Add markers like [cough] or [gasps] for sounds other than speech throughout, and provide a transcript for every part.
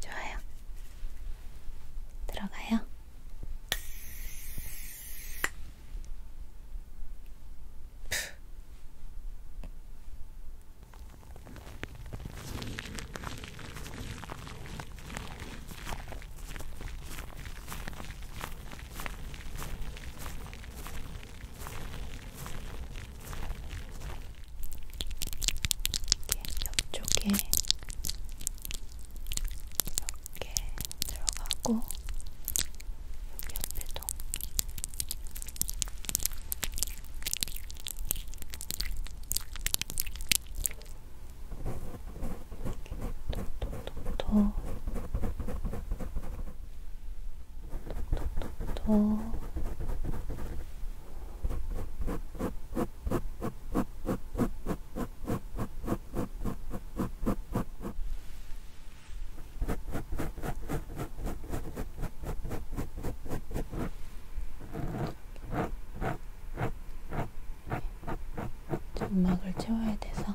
좋아요. 들어가요. 옆쪽에 이렇게 들어가고 여기 옆에도 이렇게 톡톡톡톡 톡톡톡 점막을 채워야 돼서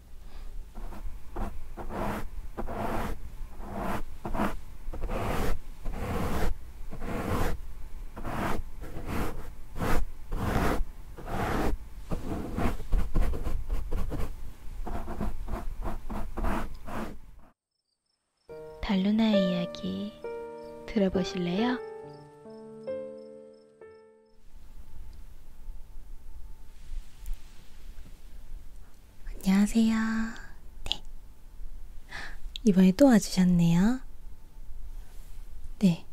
달루나의 이야기 들어보실래요? 안녕하세요. 네. 이번에 또 와주셨네요. 네.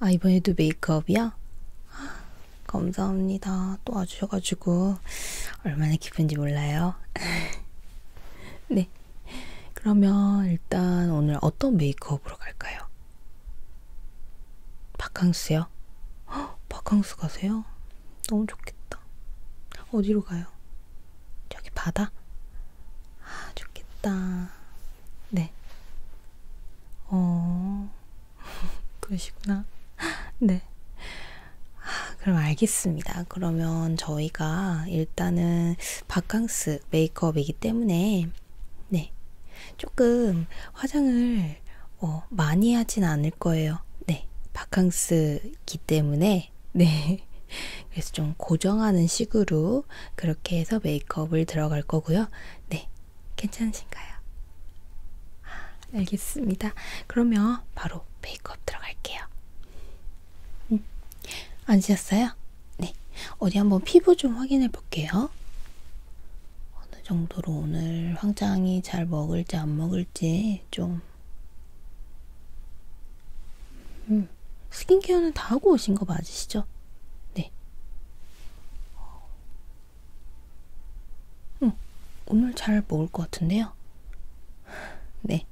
아, 이번에도 메이크업이요? [gasps] 감사합니다. 또 와주셔가지고 얼마나 기쁜지 몰라요. [laughs] 네. 그러면 일단 오늘 어떤 메이크업으로 갈까요? 바캉스요? 헉, 바캉스 가세요? 너무 좋겠다. 어디로 가요? 저기 바다? 아, 좋겠다. 네. 어, [laughs] 그러시구나. 네. 아, 그럼 알겠습니다. 그러면 저희가 일단은 바캉스 메이크업이기 때문에, 네. 조금 화장을 어, 많이 하진 않을 거예요. 네, 바캉스기 때문에 네, [laughs] 그래서 좀 고정하는 식으로 그렇게 해서 메이크업을 들어갈 거고요. 네, 괜찮으신가요? 아, 알겠습니다. 그러면 바로 메이크업 들어갈게요. 음, 앉으셨어요? 네, 어디 한번 피부 좀 확인해 볼게요. 어느 정도로 오늘 황장이 잘 먹을지 안 먹을지 좀 음, 스킨케어는 다 하고 오신 거 맞으시죠? 네. 음, 오늘 잘 먹을 것 같은데요? [laughs] 네.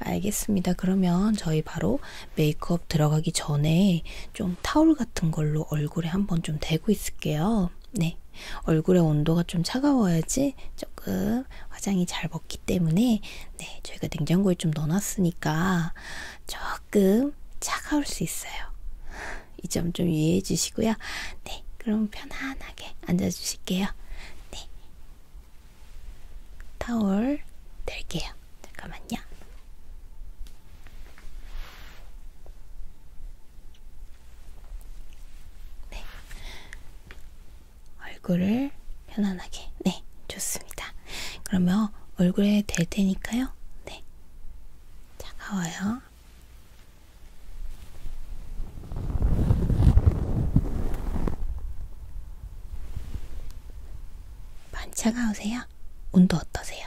알겠습니다. 그러면 저희 바로 메이크업 들어가기 전에 좀 타올 같은 걸로 얼굴에 한번 좀 대고 있을게요. 네. 얼굴의 온도가 좀 차가워야지 조금 화장이 잘 먹기 때문에 네. 저희가 냉장고에 좀 넣어놨으니까 조금 차가울 수 있어요. 이 점 좀 이해해 주시고요. 네. 그럼 편안하게 앉아 주실게요. 네. 타올 댈게요. 잠깐만요. 네. 얼굴을 편안하게. 네, 좋습니다. 그러면 얼굴에 댈 테니까요. 네. 차가워요. 반 차가우세요? 온도 어떠세요?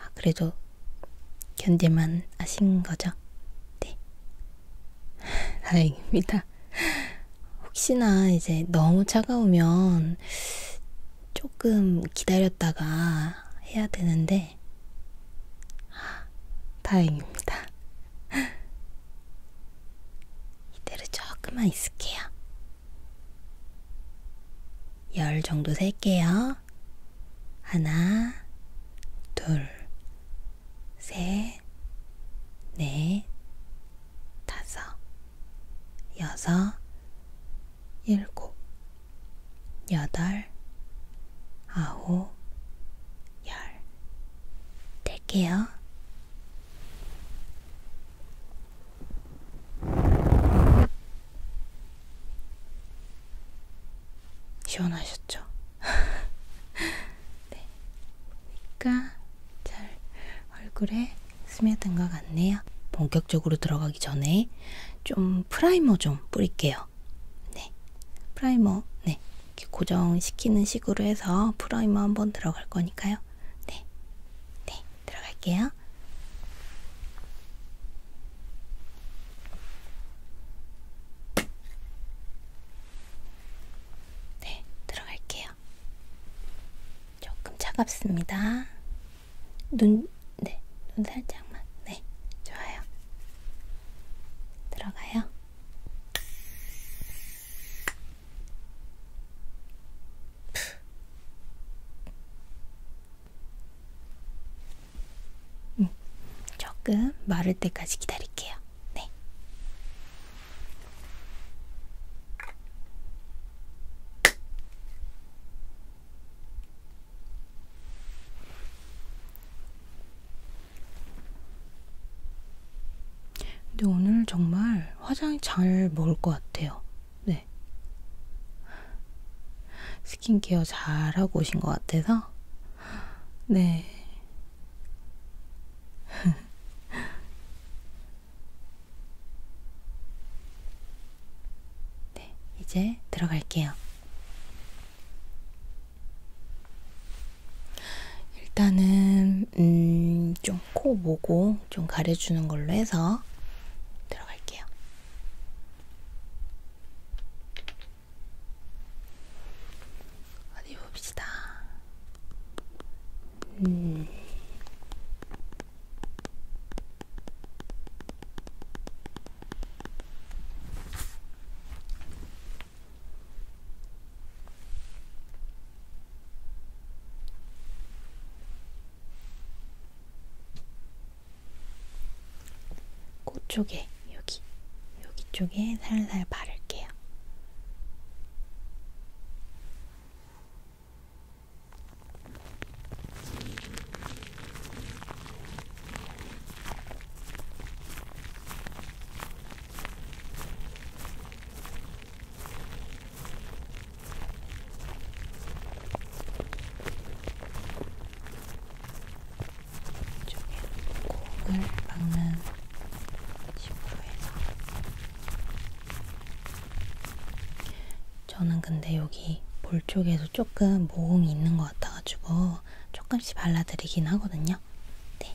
아, 그래도 견딜만 하신 거죠? 네. [laughs] 다행입니다. 혹시나 이제 너무 차가우면 조금 기다렸다가 해야 되는데, 아, 다행입니다. [laughs] 이대로 조금만 있을게요. 열 정도 셀게요. 하나, 둘, 셋, 넷, 다섯, 여섯, 일곱, 여덟, 아홉, 열. 뗄게요. 시원하셨죠? [laughs] 네. 그러니까 잘 얼굴에 스며든 것 같네요. 본격적으로 들어가기 전에 좀 프라이머 좀 뿌릴게요. 네. 프라이머, 네. 이렇게 고정시키는 식으로 해서 프라이머 한번 들어갈 거니까요. 네. 네, 들어갈게요. 네, 들어갈게요. 조금 차갑습니다. 눈, 네, 눈 살짝만. 네, 좋아요. 들어가요. 음, 조금 마를 때까지 기다릴게요. 네. 근데 오늘 정말 화장이 잘 먹을 것 같아요. 네. 스킨케어 잘 하고 오신 것 같아서. 네. [laughs] 네, 이제 들어갈게요. 일단은 음, 좀 코 모고 좀 가려주는 걸로 해서 들어갈게요. 어디 봅시다. 음. 코 쪽에 여기 여기 쪽에 살살 바를게요. 이쪽에 공을 막는 식으로 해서 저는 근데 여기 볼 쪽에서 조금 모공이 있는 것 같아가지고 조금씩 발라드리긴 하거든요. 네.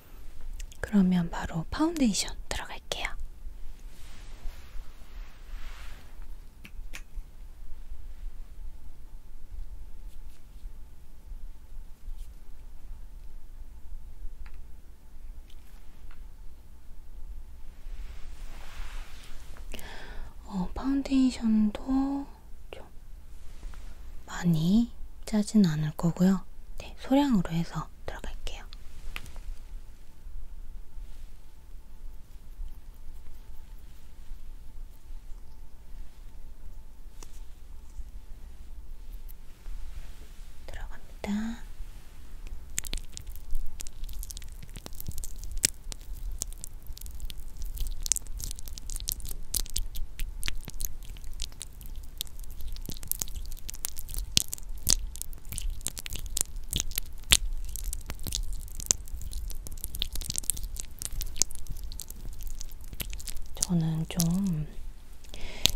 그러면 바로 파운데이션 들어갈게요. 어, 파운데이션도 좀 많이 짜진 않을 거고요. 네, 소량으로 해서 들어갈게요. 들어갑니다. 저는 좀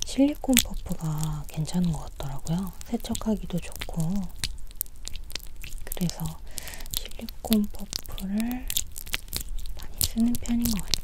실리콘 퍼프가 괜찮은 것 같더라고요. 세척하기도 좋고. 그래서 실리콘 퍼프를 많이 쓰는 편인 것 같아요.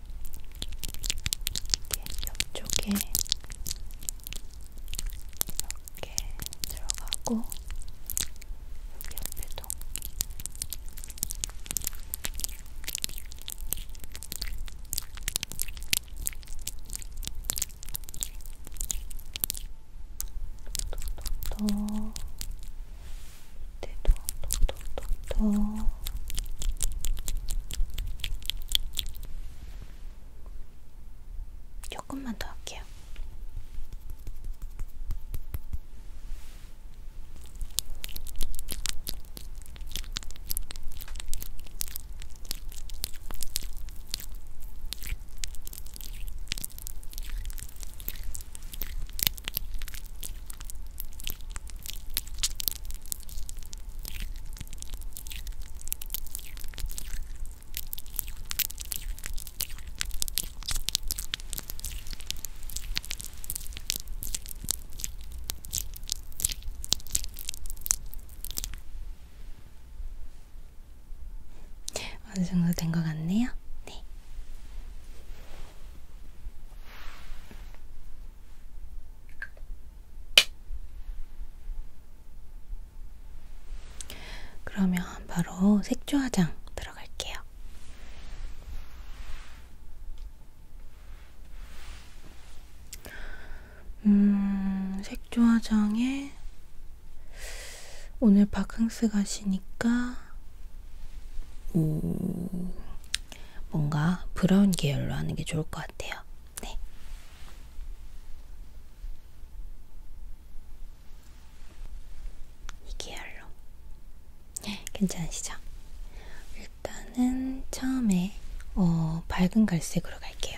옆쪽에 이렇게 들어가고 여기 옆에도 또 또또 밑에도 또 톡톡톡 조금만 더 할게요. 어느 정도 된 것 같네요. 네. 그러면 바로 색조 화장 들어갈게요. 음, 색조 화장에 오늘 바캉스 가시니까 오, 뭔가 브라운 계열로 하는 게 좋을 것 같아요. 네. 이 계열로. 네, 괜찮으시죠? 일단은 처음에 어, 밝은 갈색으로 갈게요.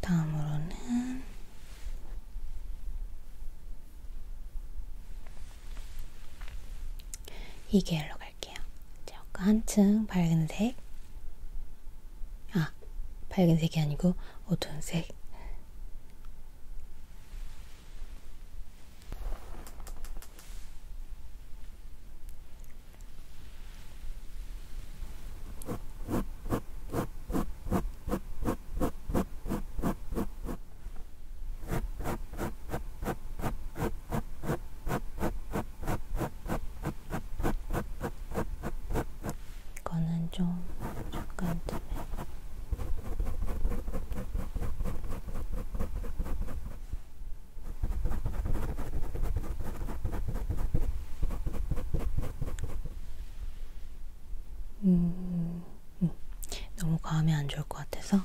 다음으로는 이 계열로 갈게요. 이제 아까 한층 밝은색, 아 밝은색이 아니고 어두운색. 이거는 좀 잠깐 뜸해. 음, 음, 너무 과하면 안 좋을 것 같아서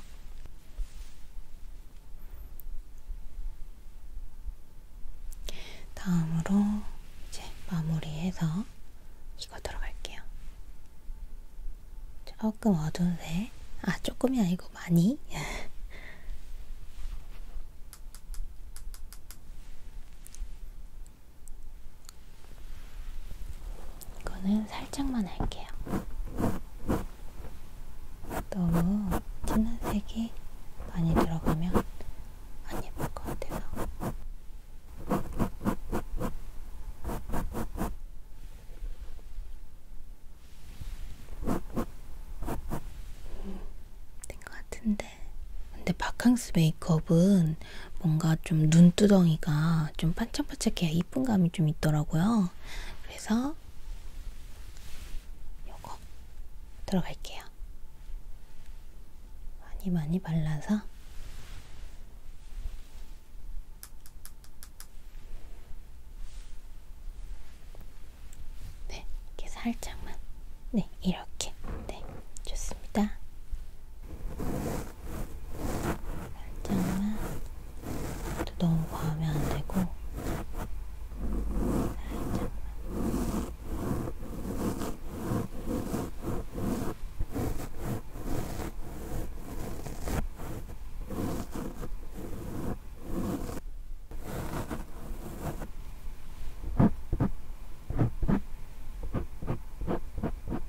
다음으로 이제 마무리해서 이거 들어갈게요. 조금 어두운색, 아 조금이 아니고 많이 [laughs] 이거는 살짝만 할게요. 너무 진한 색이 많이 들어가면 안 예쁠 것 같아서. 음, 된것 같은데. 근데 바캉스 메이크업은 뭔가 좀 눈두덩이가 좀 반짝반짝해야 이쁜 감이 좀 있더라고요. 그래서 요거 들어갈게요. 많이 많이 발라서 네, 이렇게 살짝만 네, 이렇게 네, 좋습니다. 살짝만 또 너무 과하면 안 되고 살짝만 자,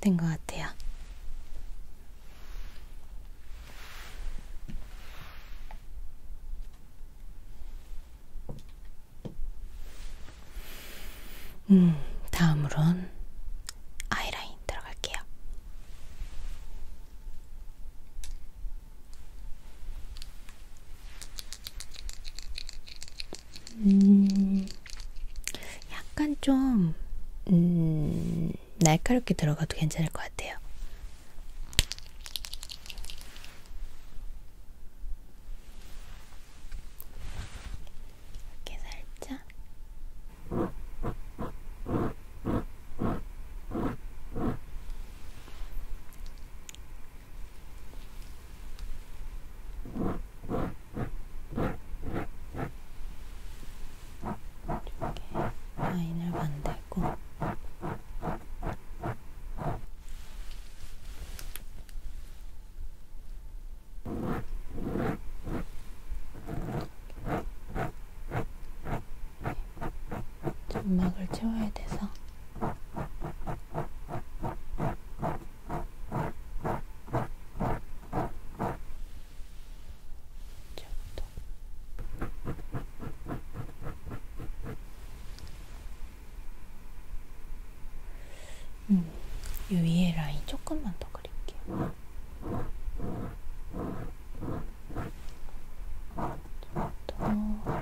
된것 같아요. 음, 다음으론 아이라인 들어갈게요. 음, 약간 좀, 음, 날카롭게 들어가도 괜찮을 것 같아요. 이렇게 살짝. 이렇게 라인을 만들고 점막을 채워야 돼서 음, 이 위에 라인 조금만 더 그릴게요. 조금 더.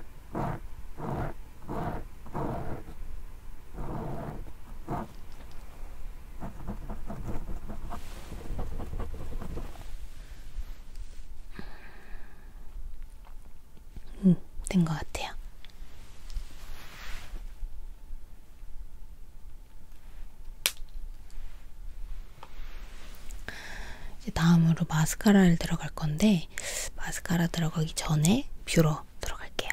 음, 된것 같아요. 이제 다음으로 마스카라를 들어갈 건데, 때문에 마스카라 들어가기 전에 뷰러 들어갈게요.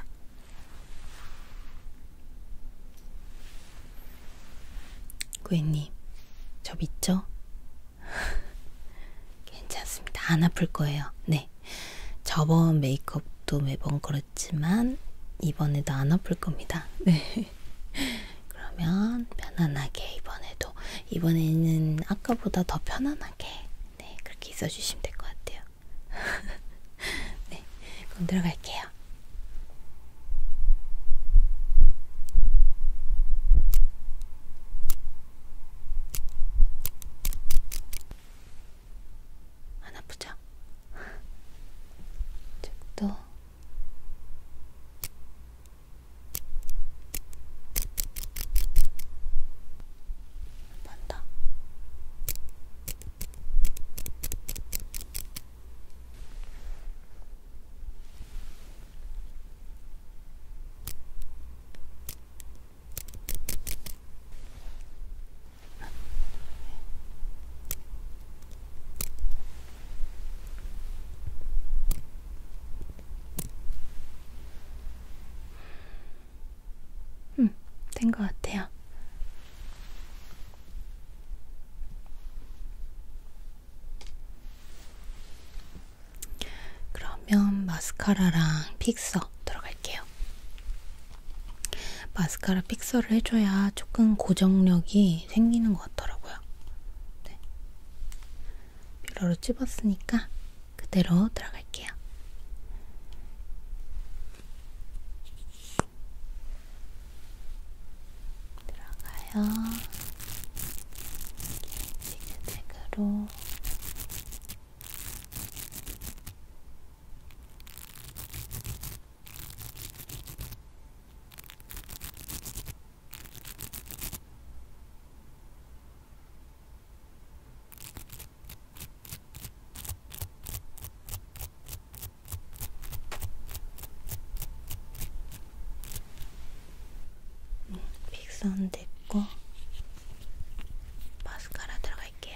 고객님, 저 믿죠? [laughs] 괜찮습니다. 안 아플 거예요. 네. 저번 메이크업도 매번 그렇지만 이번에도 안 아플 겁니다. 네. [laughs] 그러면 편안하게 이번에도 이번에는 아까보다 더 편안하게 네, 그렇게 있어주시면 될 것 같아요. [laughs] 네, 그럼 들어갈게요. 안 아프죠? 이쪽도 한번 더. 음, 된 것 같아요. 그러면 마스카라랑 픽서 들어갈게요. 마스카라 픽서를 해줘야 조금 고정력이 생기는 것 같더라고요. 네. 빌러로 찝었으니까 그대로 들어갈게요. 들어가요. 지그재그로 음, 픽선 됐고 마스카라 들어갈게요.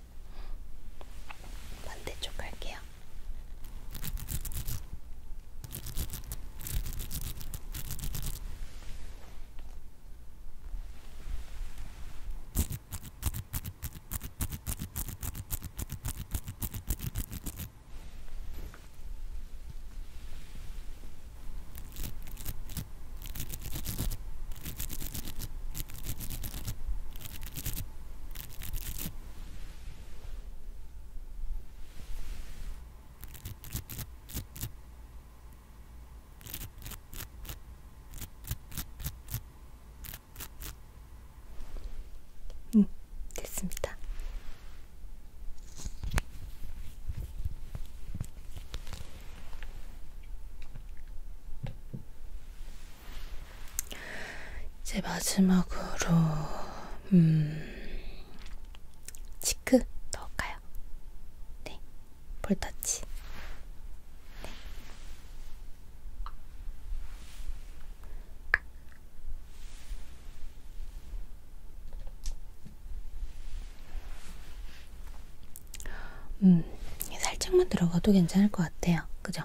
반대쪽 할게요. 음, 됐습니다. 이제 마지막으로 음, 치크 넣을까요? 네, 볼터치. 네. 음, 살짝만 들어가도 괜찮을 것 같아요. 그죠?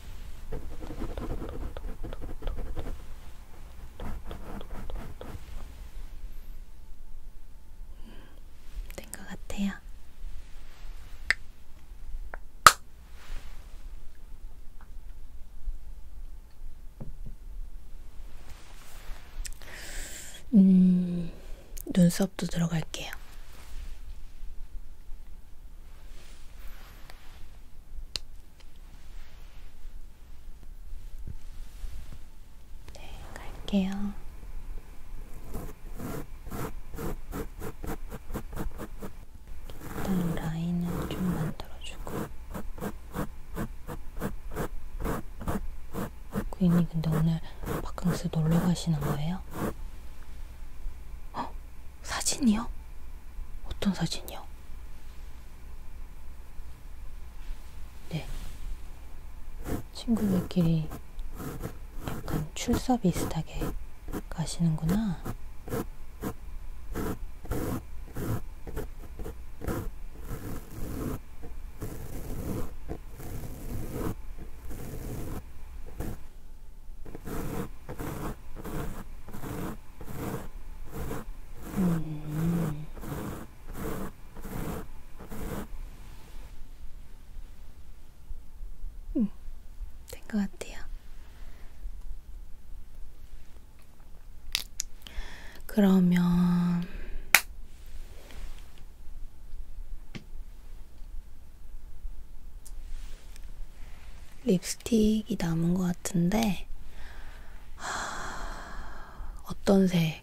음, 된것 같아요. 음, 눈썹도 들어갈게요. 네, 갈게요. 일단 라인은 좀 만들어주고. 구인님 근데 오늘 바캉스 놀러 가시는 거예요? 헉, 사진이요? 어떤 사진이요? 네. 친구들끼리 약간 출사 비슷하게 가시는구나. 음. 음, 된것 같아요. 그러면 립스틱이 남은 것 같은데 하... 어떤 색?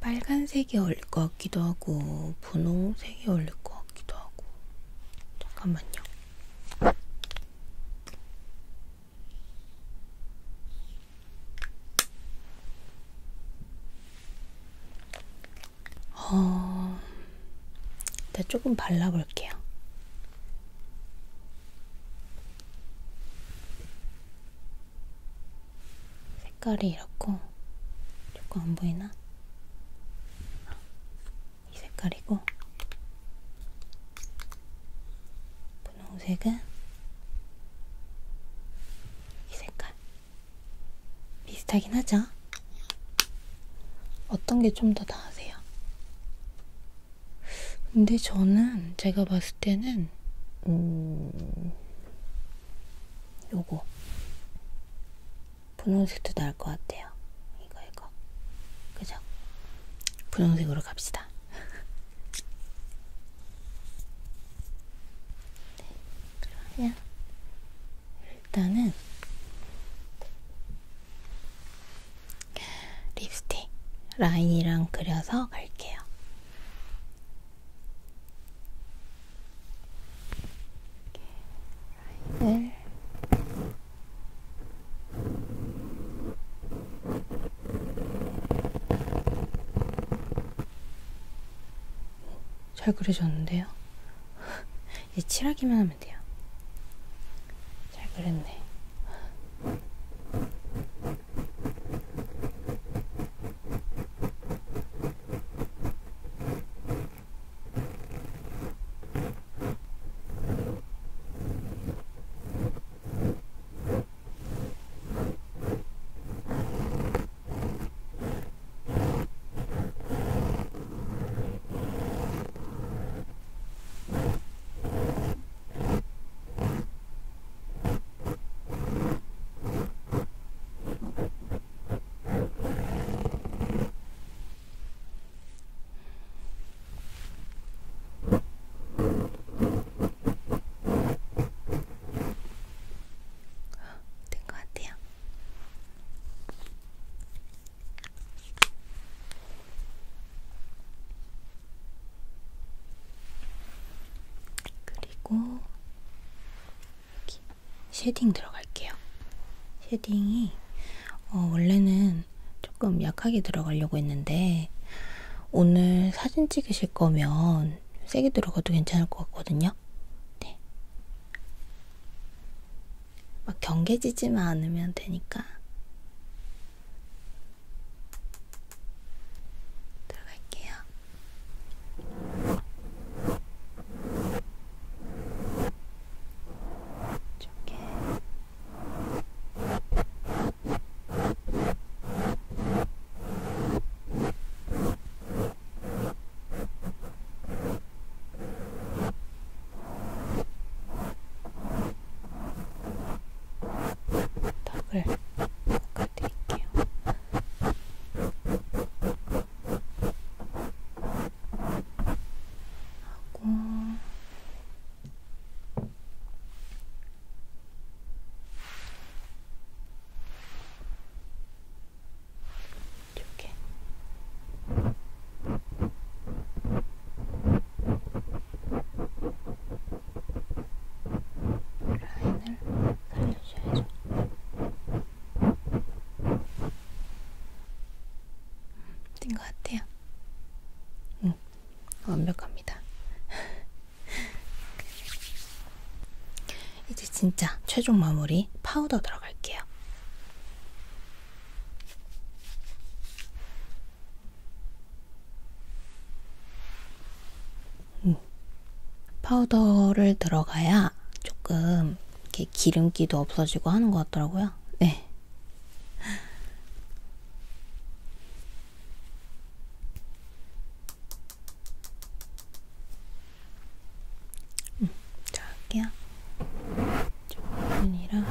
빨간색이 어울릴 것 같기도 하고 분홍색이 어울릴 것 같기도 하고 잠깐만요. 어, 네, 조금 발라볼게요. 색깔이 이렇고, 조금 안 보이나? 이 색깔이고, 분홍색은 이 색깔. 비슷하긴 하죠? 어떤 게 좀 더 나으세요? 근데 저는 제가 봤을 때는 음... 요거 분홍색도 나을 것 같아요. 이거 이거 그죠? 분홍색으로 갑시다. [laughs] 네, 그러면 일단은 립스틱 라인이랑 그려서 갈게요. 라인을 잘 그려졌는데요? 이 칠하기만 하면 돼요. 잘 그렸네. 된것 같아요. 그리고 여기 쉐딩 들어갈게요. 쉐딩이 어, 원래는 조금 약하게 들어가려고 했는데 오늘 사진 찍으실 거면 세게 들어가도 괜찮을 것 같거든요. 네. 막 경계지지만 않으면 되니까 들어갈게요. 이쪽에 턱을 닦아드릴게요. 하고 이렇게 라인을 살려줘야죠. 된 음, 것 같아요. 응, 음, 완벽합니다. [laughs] 이제 진짜 최종 마무리 파우더 들어갈게요. 음. 파우더를 들어가야 조금 이렇게 기름기도 없어지고 하는 것 같더라고요. 네. 음, 자, 할게요. 조금이랑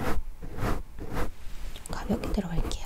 좀 가볍게 들어갈게요.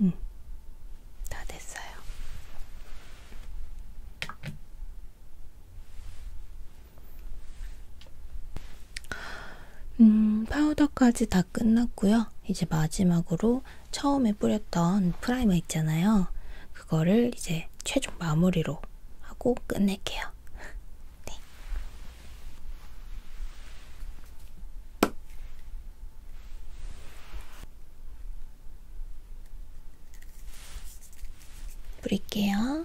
음, 다 됐어요. 음, 파우더까지 다 끝났고요. 이제 마지막으로 처음에 뿌렸던 프라이머 있잖아요. 그거를 이제 최종 마무리로 하고 끝낼게요. [laughs] 네. 뿌릴게요.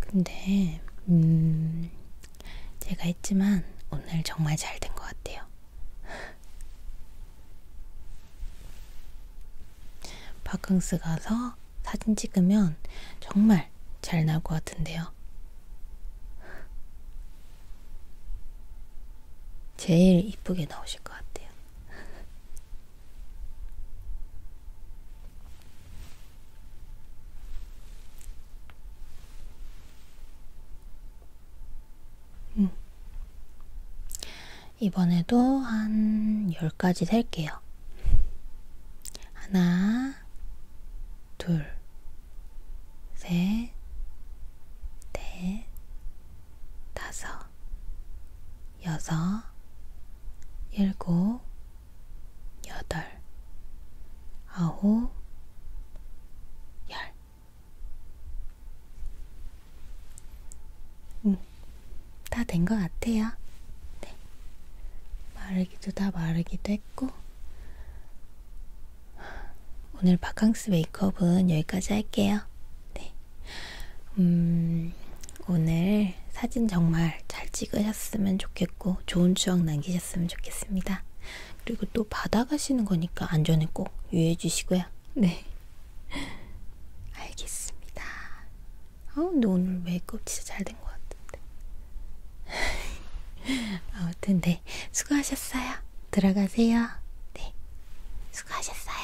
근데 음 제가 했지만 오늘 정말 잘 된 것 같아요. 바캉스 [laughs] 가서 사진 찍으면 정말 잘 나올 것 같은데요. 제일 이쁘게 나오실 것 같아요. [laughs] 음. 이번에도 한 10가지 셀게요. 하나, 둘, 셋, 넷, 다섯, 여섯, 일곱, 여덟, 아홉, 열. 응, 다된 것 같아요. 네. 마르기도 다 마르기도 했고. 오늘 바캉스 메이크업은 여기까지 할게요. 네. 음, 오늘 사진 정말 잘 찍으셨으면 좋겠어요. 좋겠고 좋은 추억 남기셨으면 좋겠습니다. 그리고 또 바다 가시는 거니까 안전에 꼭 유의해 주시고요. 네. [laughs] 알겠습니다. 아, 근데 오늘 메이크업 진짜 잘 된 것 같은데. [laughs] 아무튼 네. 수고하셨어요. 들어가세요. 네. 수고하셨어요.